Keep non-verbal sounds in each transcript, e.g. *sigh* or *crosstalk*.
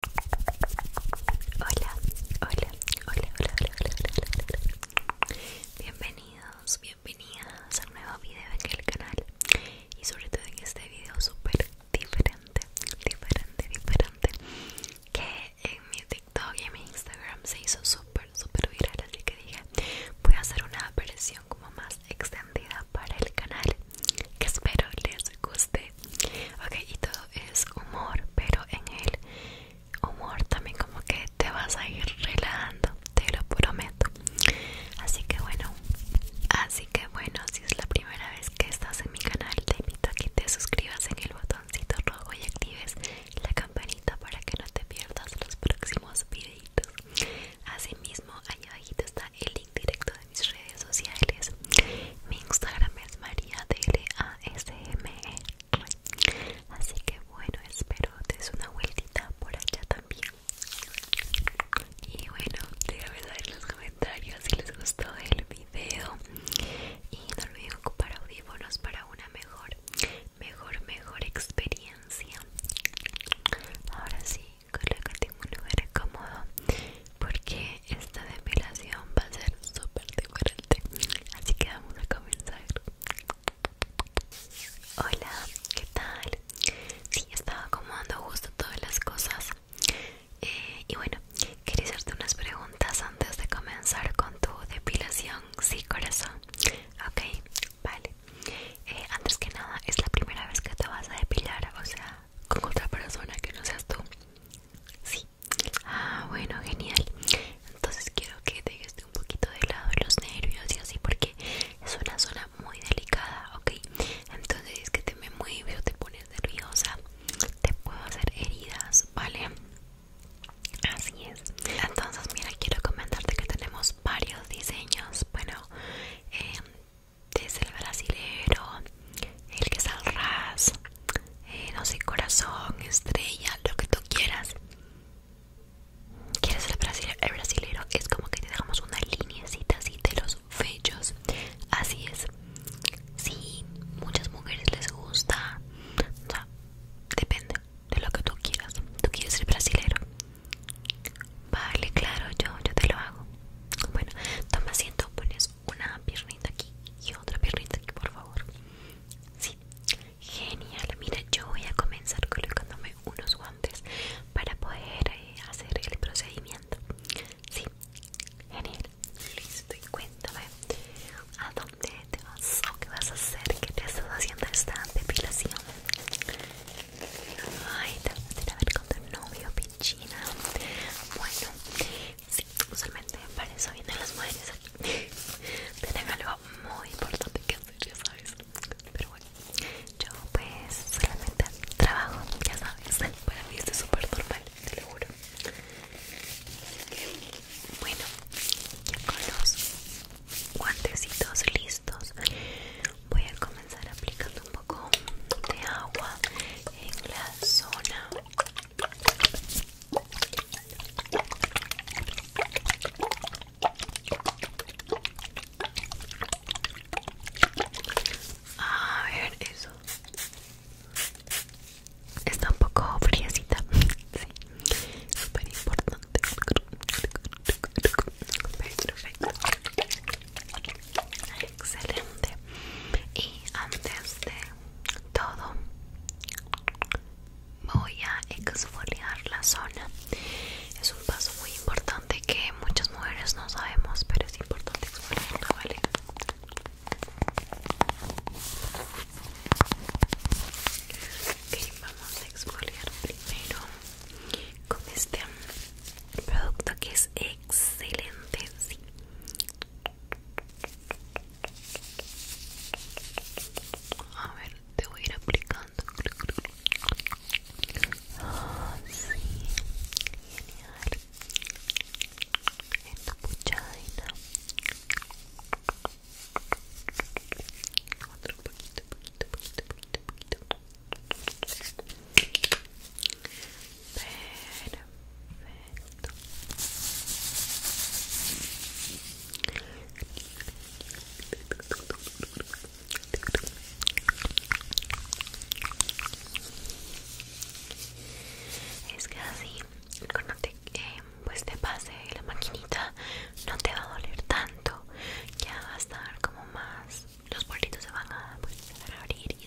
Hola, hola, hola, hola, hola, hola, hola, Bienvenidos, bienvenidas a un nuevo video en el canal y sobre todo en este video súper diferente, diferente, diferente que en mi TikTok y en mi Instagram se hizo súper, súper viral así que dije voy a hacer una versión como más extendida para el canal espero les guste ok y todo es humor pero en el humor también como que te vas a ir relajando te lo prometo así que bueno así que bueno si es la primera vez que estás en mi canal te invito a que te suscribas en el botoncito rojo y actives la campanita para que no te pierdas los próximos videitos Asimismo, ahí abajito está el link directo mis redes sociales. Mi Instagram es María Así que bueno, espero te des una vueltita por allá también. Y bueno, déjame saber en los comentarios si les gustó el video. Y no olviden ocupar audífonos para una mejor, mejor, mejor experiencia. Ahora sí, colócate en un lugar cómodo porque esta depilación va a ser súper diferente así que vamos a comenzar hola qué tal sí estaba acomodando justo todas las cosas eh, y bueno quería hacerte unas preguntas antes de comenzar con tu depilación sí corazón ok vale eh, antes que nada es la primera vez que te vas a depilar o sea con otra persona que no seas tú. Sí. Ah, bueno, genial. Entonces quiero que dejes un poquito de lado los nervios y así porque es una zona muy delicada, ¿ok? Entonces es que te me mueves, te pones nerviosa, te puedo hacer heridas, ¿vale? Así es. Entonces mira, quiero comentarte que tenemos varios diseños. Bueno, eh, es el brasilero, el que es eh, no sé, corazón, estrella, lo que tú quieras. ¿Quieres el brasilero? El brasilero es como que te dejamos una linecita así de los fechos Así es. Sí, muchas mujeres les gusta. O depende de lo que tú quieras. ¿Tú quieres ser brasilero? Vale, claro, yo, yo te lo hago. Bueno, toma asiento, pones una piernita aquí y otra piernita aquí, por favor. Sí, genial. Mira, yo voy a comenzar colocándome unos guantes para poder eh, hacer el procedimiento. Sí, genial. Listo, y cuéntame, ¿a dónde te vas o qué vas a hacer? ¿Qué te estás haciendo esta depilación? Ay, te vas a ver con tu novio, China. Bueno, sí, usualmente para eso vienen las mujeres aquí. *laughs* Tienen algo muy importante que hacer, ya sabes. Pero bueno, yo pues solamente trabajo, ya sabes. Para mí es súper normal, te lo juro. Bueno, con los guantecitos listos, voy a comenzar comenzar aplicando un poco de agua en la zona a ver eso está un poco friecita *laughs* sí importante excelente y antes de todo voy a exfoliar la zona es un paso muy importante que muchas mujeres no sabemos pero es importante exfoliar, vale ok vamos a exfoliar primero con este producto que es excelente, sí. A ver, te voy a ir aplicando. Ah, sí, genial. Esta puchadita Otro poquito, poquito, poquito, poquito, poquito. Es que así, cuando eh, pues te, pase la maquinita, no te va a doler tanto. Ya va a estar como más. Los bolitos se van a, pues, abrir y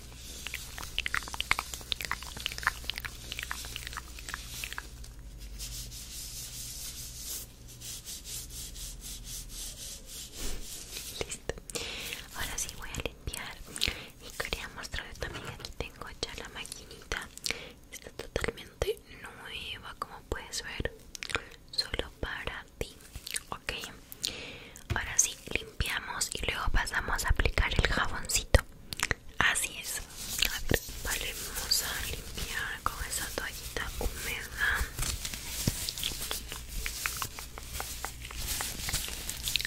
Listo. Ahora sí voy a limpiar y quería mostrarles también aquí tengo ya la maquinita. Está totalmente nueva como puedes ver. Solo para ti. Ok. Ahora sí, limpiamos y luego pasamos a aplicar el jaboncito. Así es. vale vamos a limpiar con esa toallita húmeda.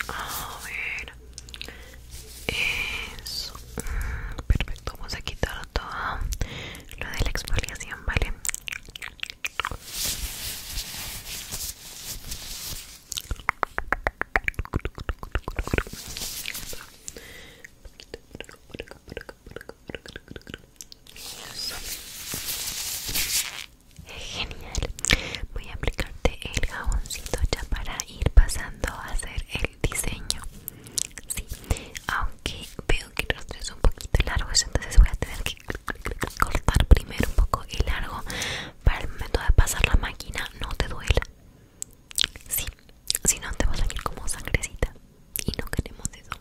A ver. Eso. Perfecto, vamos a quitar todo lo de la exfoliación, ¿vale? Genial, voy a aplicarte el jaboncito ya para ir pasando a hacer el diseño. Sí, aunque veo que los tres es un poquito largo entonces voy a tener que cortar primero un poco el largo para el momento de pasar la máquina no te duela. Sí, si no te va a salir como sangrecita y no queremos eso.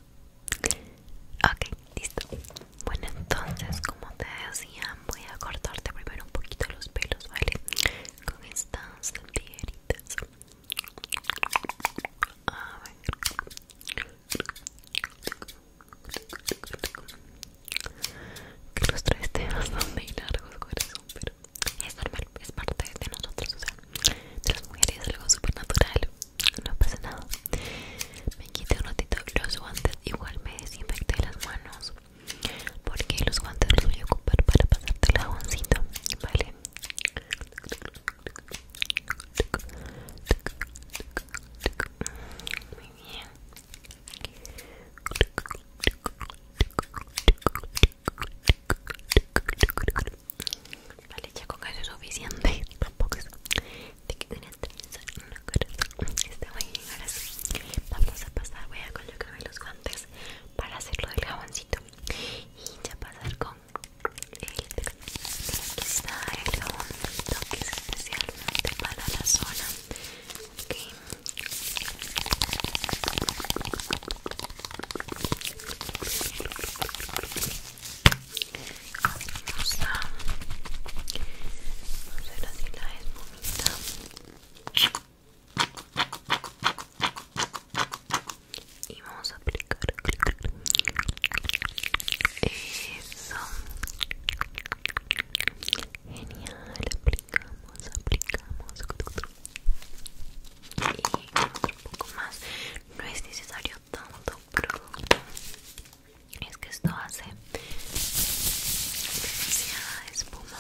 Ok, listo. Bueno, entonces, como te decía, voy a cortarte primero un poquito los pelos, ¿vale? Con estas tijeritas A ver que los tres temas son muy largos corazón pero es normal es parte de nosotros o sea de las mujeres es algo súper natural no pasa nada me quité un ratito los guantes igual me desinfecté las manos porque los guantes los voy a ocupar para pasarte el jaboncito vale muy bien Vale, ya con eso es suficiente. *laughs* Tampoco es de que una trenza, una corazón. Está muy bien, ahora Vamos a pasar, voy a colocarme los guantes para hacerlo del jaboncito. Y ya pasar con el. Aquí el jaboncito que es especialmente para la zona Vamos a, ver así la es bonita y vamos a aplicar eso Genial, aplicamos, aplicamos y otro poco más. No es necesario tanto producto. Es que esto hace demasiada espuma.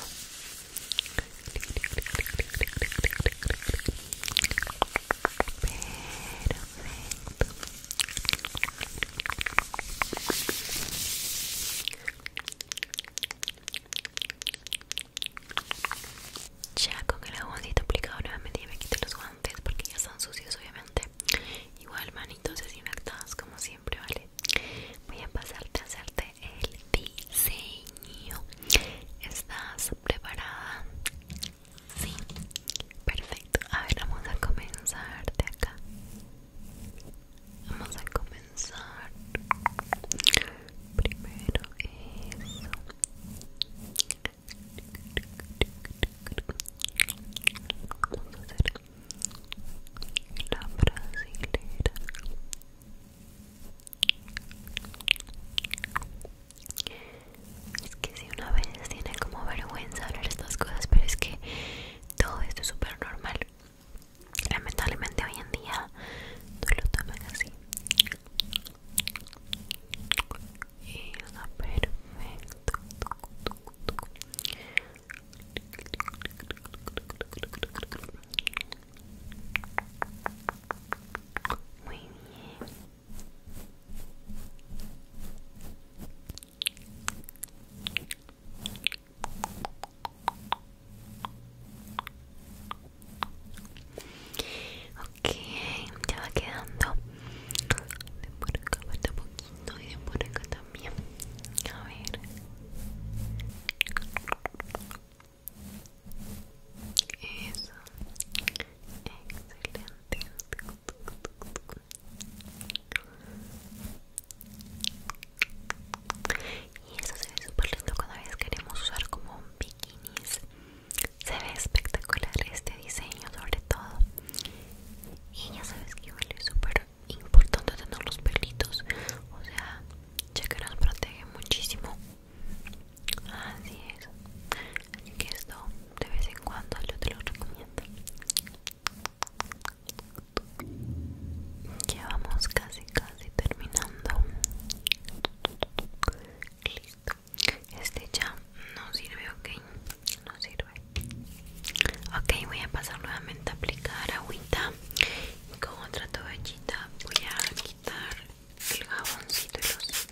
Perfecto. Ya con el aguancito aplicado nuevamente me quito los guantes porque ya están sucios obviamente Igual manitos desinfectadas como siempre, ¿vale? Voy a pasarte a hacerte el diseño ¿Estás preparada? Sí, perfecto A ver, vamos a comenzar de acá Vamos a comenzar. Primero eso. Vamos a hacer la brasilera. Es que si una vez tiene como vergüenza ver estas cosas, pero es que todo esto es súper normal lamentablemente hoy en día no lo toman así y perfecto muy bien Ok, ya va quedando de por acá falta poquito y de por acá también. A ver. Eso. Excelente. Y eso se ve súper lindo cuando a veces queremos usar como un bikinis. Se ve espectacular este diseño sobre todo. Y ya sabes que igual es súper importante tener los pelitos. O sea, ya que nos protege muchísimo. Así es. Así que esto de vez en cuando yo te lo recomiendo. Ya vamos casi casi terminando. Listo. Este ya no sirve, ok. No sirve. Ok, voy a pasar nuevamente a aplicar agüita. Y con otra toallita voy a quitar el jaboncito y los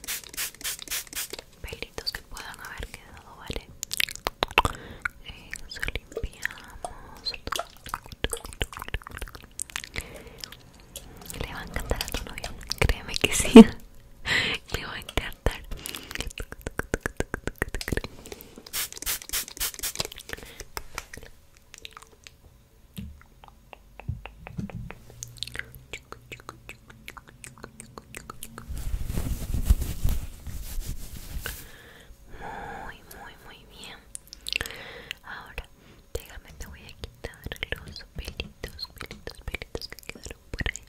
pelitos que puedan haber quedado, ¿vale? Eso limpiamos. Le va a encantar a tu novia créeme que sí. *laughs* Le va a encantar. Muy, muy, muy bien. Ahora, déjame, te voy a quitar los pelitos, pelitos, pelitos que quedaron por ahí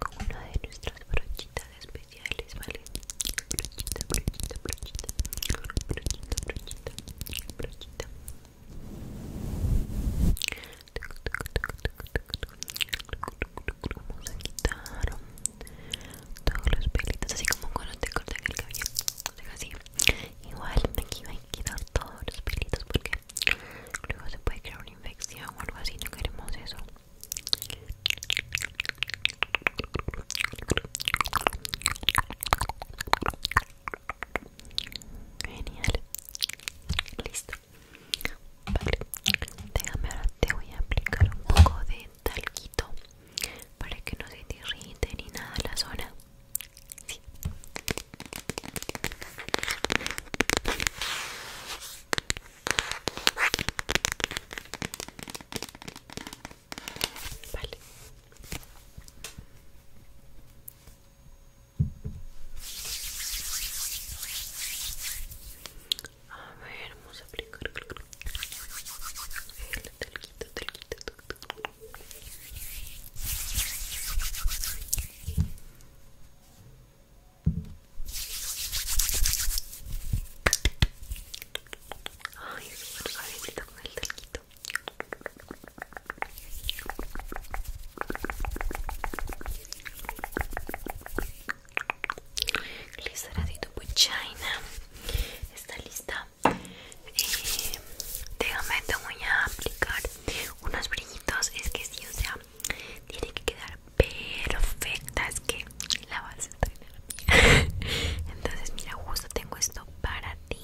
con una de nuestras brochitas especiales, ¿vale? Brochita, brochita, brochita, brochita, brochita, brochita. Toc, vamos a quitar todos los pelitos así como cuando te cortan el cabello así igual aquí hay a quitar todos los pelitos porque luego se puede crear una infección o algo así no queremos eso genial listo Vale, déjame ahora te voy a aplicar un poco de talquito para que no se te irrite ni nada la zona. Vale. A ver, vamos a aplicar el talquito, talquito, talquito. Ay, es súper suavecito con el talquito tu puchaina Está lista. Eh, déjame, te voy a aplicar unos brillitos. Es que si o sea, tiene que quedar perfecta. Es que la vas a traer. *laughs* Entonces, mira, justo tengo esto para ti.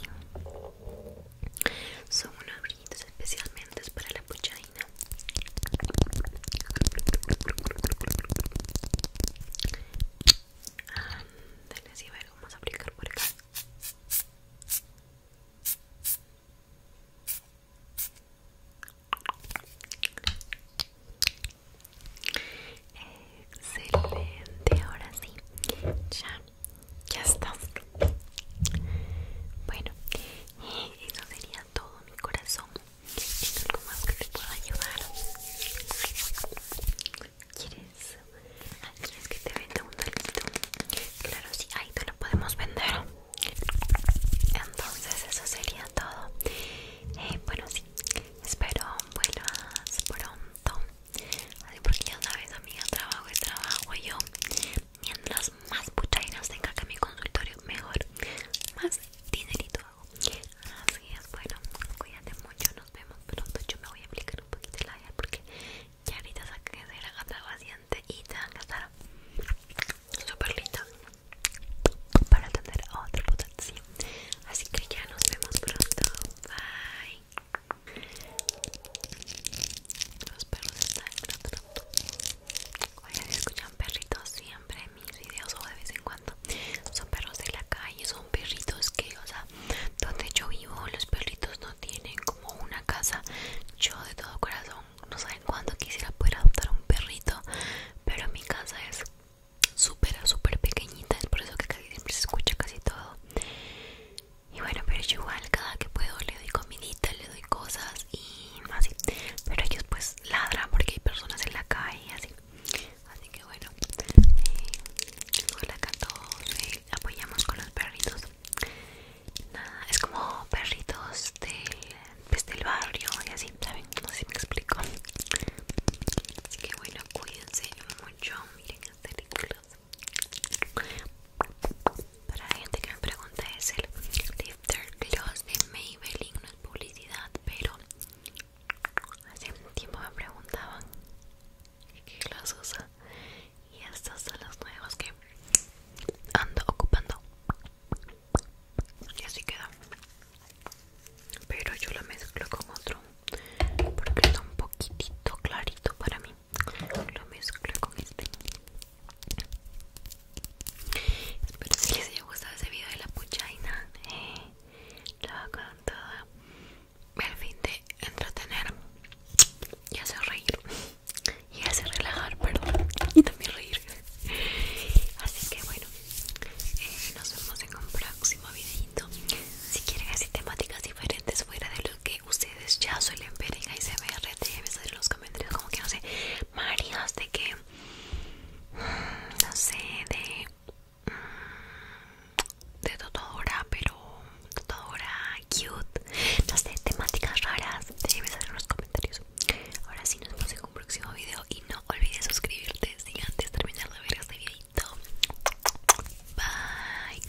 Son unos brillitos especialmente para la puchaina reina si a ver, cómo a aplicar por acá Excelente, ahora sí, ya, ya está Bueno, eso sería todo mi corazón. ¿Tienes algo más que te pueda ayudar? ¿Quieres? ¿Quieres que te venda un poquito. Claro, sí, ahí te lo podemos vender. Entonces eso sería todo. Eh, bueno, sí, espero buenas pronto. Así porque ya sabes, amiga, trabajo y trabajo yo mientras más putainas tenga que en mi consultorio, mejor, más dinerito hago. Así es, bueno, cuídate mucho, nos vemos pronto. Yo me voy a aplicar un poquito el labial porque ya ahorita va de la gata y te van a estar súper linda para atender a otra potencia. Así que ya nos vemos pronto. Bye. Los perros están en Oigan, escuchan perritos siempre en mis videos o de vez en cuando. Son perros de la calle, son perritos que, o sea, donde yo vivo, los perritos no tienen como una casa. Yo de todo corazón, no saben cuándo quisiera poder adoptar un perrito, pero mi casa es súper, súper pequeñita, es por eso que casi siempre se escucha casi todo. Y bueno, pero yo igual cada que puedo le doy comidita, le doy cosas y así. Pero ellos pues ladra porque hay personas en la calle así así que bueno eh, la acá apoyamos con los perritos nada es como perritos de pues, del barrio y así saben no sé si me explico así que bueno cuídense mucho miren películas para la gente que me pregunta es el Lifter Gloss de Maybelline, no es publicidad, pero hace un tiempo me preguntaban qué gloss usa y estos son los nuevos que ando ocupando y así queda pero yo lo mezclo con otro porque está un poquitito clarito para mí lo mezclo con este Espero que les haya gustado ese video de la puchaina. Eh, lo hago con todo el fin de entretener y hacer reír y hacer relajar, perdón, y también reír. Así que bueno, eh, nos vemos en un próximo videito. Si quieren así temáticas diferentes fuera de lo que ustedes ya suelen ver en se déjenme saber en los comentarios como que no sé, Marías de que mm, no sé de mm, de totodora pero totodora cute no sé temáticas raras déjame saber en los comentarios ahora sí nos vemos en un próximo video y no olvides suscribirte Y antes de terminar de ver este videito bye